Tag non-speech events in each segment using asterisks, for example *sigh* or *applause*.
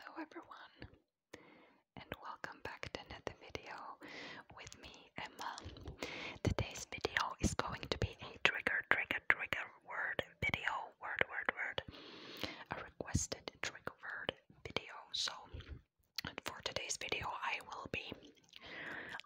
Hello everyone and welcome back to another video with me Emma. Today's video is going to be a trigger trigger trigger word video word word word a requested trigger word video so for today's video I will be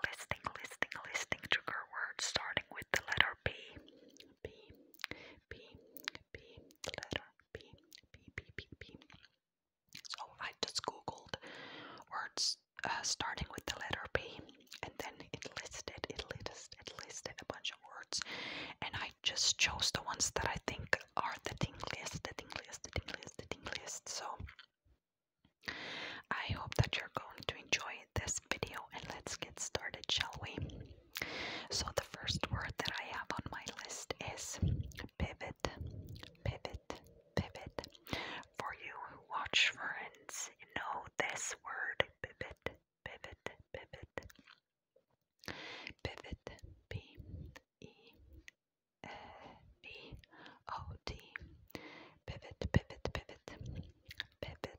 listing listing listing trigger words starting with the letter P P P P letter P, P, P, P, P. So I just googled words uh, starting with the letter P, and then it listed, it listed, it listed a bunch of words, and I just chose the ones that I think are the tingliest, the tingliest, the tingliest, the tingliest. So I hope that you're going to enjoy this video, and let's get started, shall we? So the first word that I have on my list is pivot, pivot, pivot. For you who watch Friends, you know this word pivot, pivot, pivot. Pivot, P E V O T. Pivot, pivot, pivot, pivot,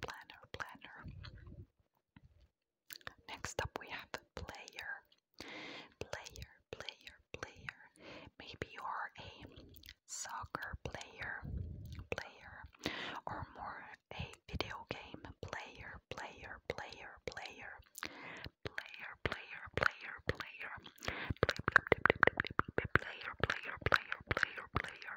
planner, planner, Next up, we have player. Player, player, player. Maybe you are a soccer player, player, or more a video game player, player, player, player, player, player, player, player, player, player, player, player, player.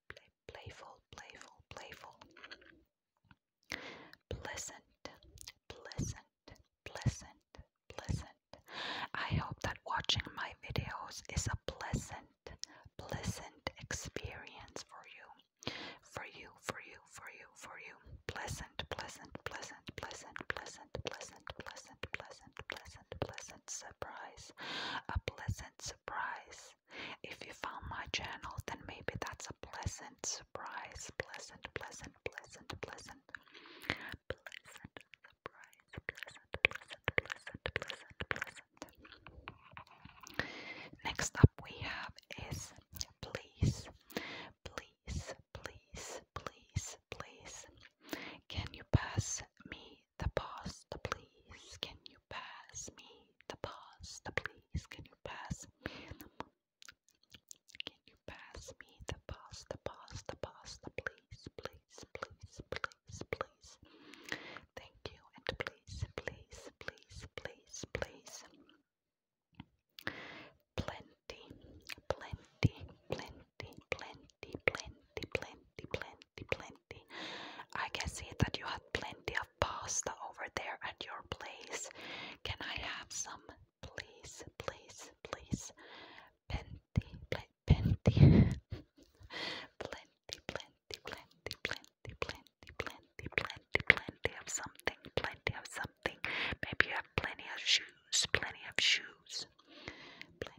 playful, playful, playful. Pleasant, pleasant, pleasant, pleasant. I hope that watching my videos is a pleasant, pleasant experience for you. For you, for you, for you, for you. pleasant, pleasant, pleasant, pleasant, pleasant, pleasant, pleasant, pleasant, pleasant. A pleasant surprise. A pleasant surprise. If you found my channel, then maybe that's a pleasant surprise. Pleasant, pleasant, pleasant, pleasant. Pleasant surprise. Pleasant, pleasant, pleasant, pleasant, pleasant. Next up we have is please. Please, please, please, please. Can you pass me the me the please? Can you pass me the The please? Can you pass me the Can you pass me the pasta, pasta, pasta, please, please, please, please, please? Thank you, and please, please, please, please, please. Plenty, plenty, plenty, plenty, plenty, plenty, plenty, plenty, plenty. I can see that you have plenty of pasta over there at your place. Can I have some, please, please, please? Plenty, *laughs* plenty, plenty, plenty, plenty, plenty, plenty, plenty, plenty, of something, plenty of something. Maybe you have plenty of shoes, plenty of shoes,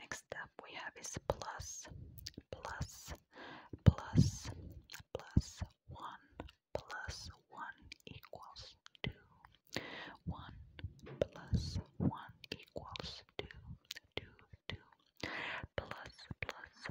Next up we have is plus, plus, plus, plus one, plus one equals two. One plus one equals two, two, two. Plus, plus,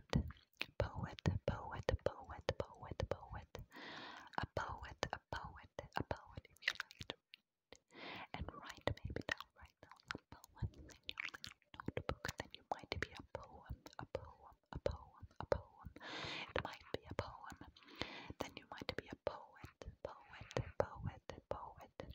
poet, poet, poet, poet, poet, poet, a poet, a poet, a poet. If you like to read and write, maybe down, write down a poem in your little notebook. Then you might be a poem, a poem, a poem, a poem. It might be a poem. Then you might be a poet, poet, poet, poet. Poet, poet, poet.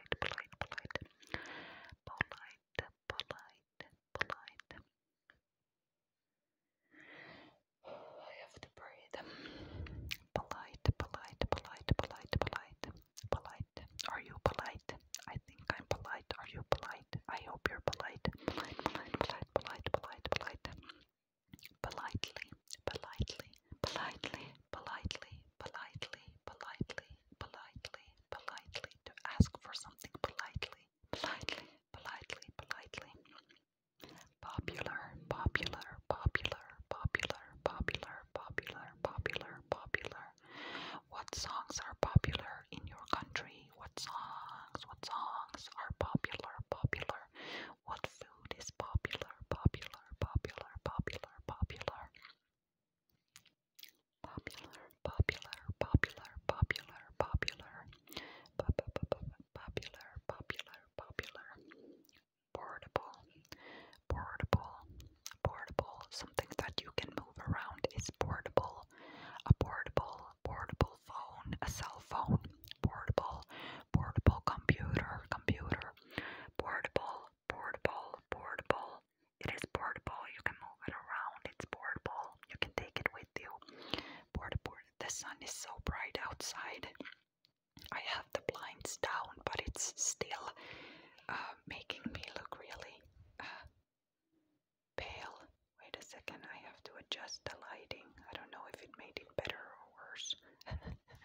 polite, polite, polite, polite, polite, I have to breathe. Polite, polite, polite, polite, polite, polite. Are you polite? I think I'm polite. Are you polite? I hope you're polite. Polite, polite, polite, polite, polite, polite. Politely, politely, politely politely, politely, politely, politely, politely, to ask for something politely, politely, politely, politely. Popular, popular, popular, popular, popular, popular, popular, popular. What songs are popular in your country? What songs? What songs are popular? Popular. What food is popular, popular, popular, popular, popular? Popular, popular, popular, popular, popular. Popular, popular, popular. Portable, portable, portable. Something that you can move around is portable. A portable, portable phone, a cell phone. Portable, portable computer, computer, portable, portable, portable. It is portable, you can move it around, it's portable, you can take it with you. Portable, the sun is so bright outside. I have the blinds down, but it's still uh, making me look really uh, pale. Wait a second, I have to adjust the lighting. I don't know if it made it better or worse. *laughs*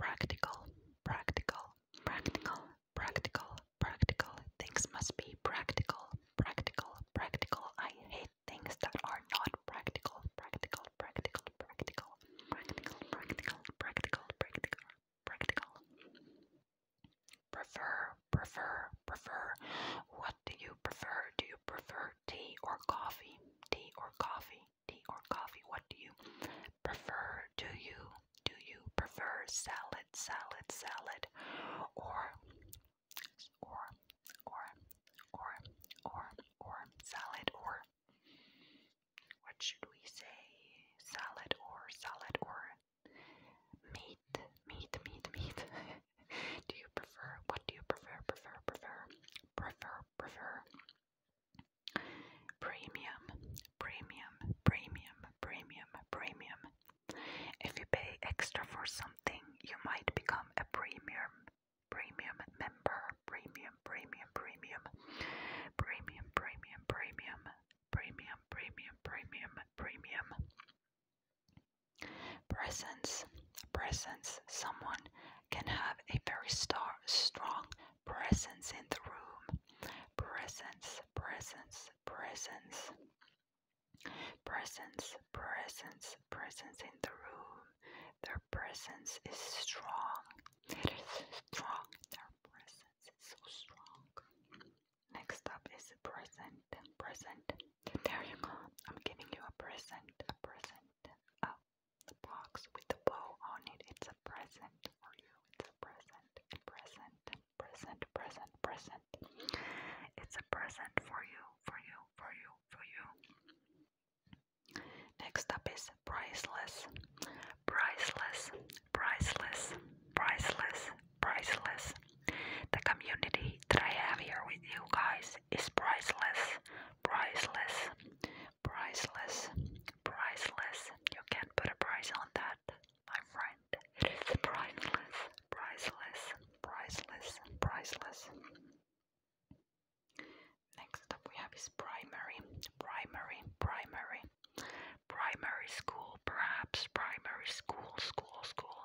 Practical, practical, practical, practical, practical. Things must be practical, practical, practical. I hate things that are not practical, practical, practical, practical, practical, practical, practical, practical, Prefer, prefer, prefer. What do you prefer? Do you prefer tea or coffee? Tea or coffee? tea or coffee? What do you prefer? Do you do you prefer salad, salad, salad, or or or or or or salad or what should we say? Salad or salad or meat, meat, meat, meat. *laughs* do you prefer? What do you prefer? Prefer, prefer, prefer prefer. Premium, premium, premium, premium, premium. If you pay extra for something, you might become a premium, premium member. Premium, premium, premium, premium, premium, premium, premium, premium, premium, premium. Presence. Presence. Someone can have a very star strong presence in the room. Presence. Presence. Presence. Presence. Presence. Presence in the room. Their presence is strong. It is strong. Their presence is so strong. Next up is present. Present. There you go. I'm giving you a present. A present present. box with the bow on it. It's a present for you. It's a present, present, present, present, present. It's a present for you, for you, for you, for you. Next up is priceless, priceless, priceless, priceless, priceless. The community that I have here with you guys price is priceless, priceless, priceless, priceless. You can't put a price on that, my friend. It is priceless, priceless, priceless, priceless. Next up, we have his primary, primary, primary, primary school, perhaps primary school, school, school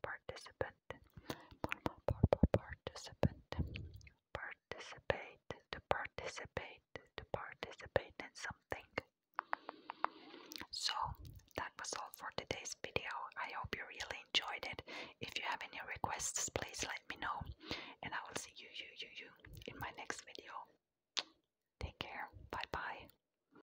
participant, participant, participate, to participate, to participate in something. So that was all for today's video. I hope you really enjoyed it. If you have any requests, please let me know, and I will see you, you, you, you in my next video. Take care. Bye bye.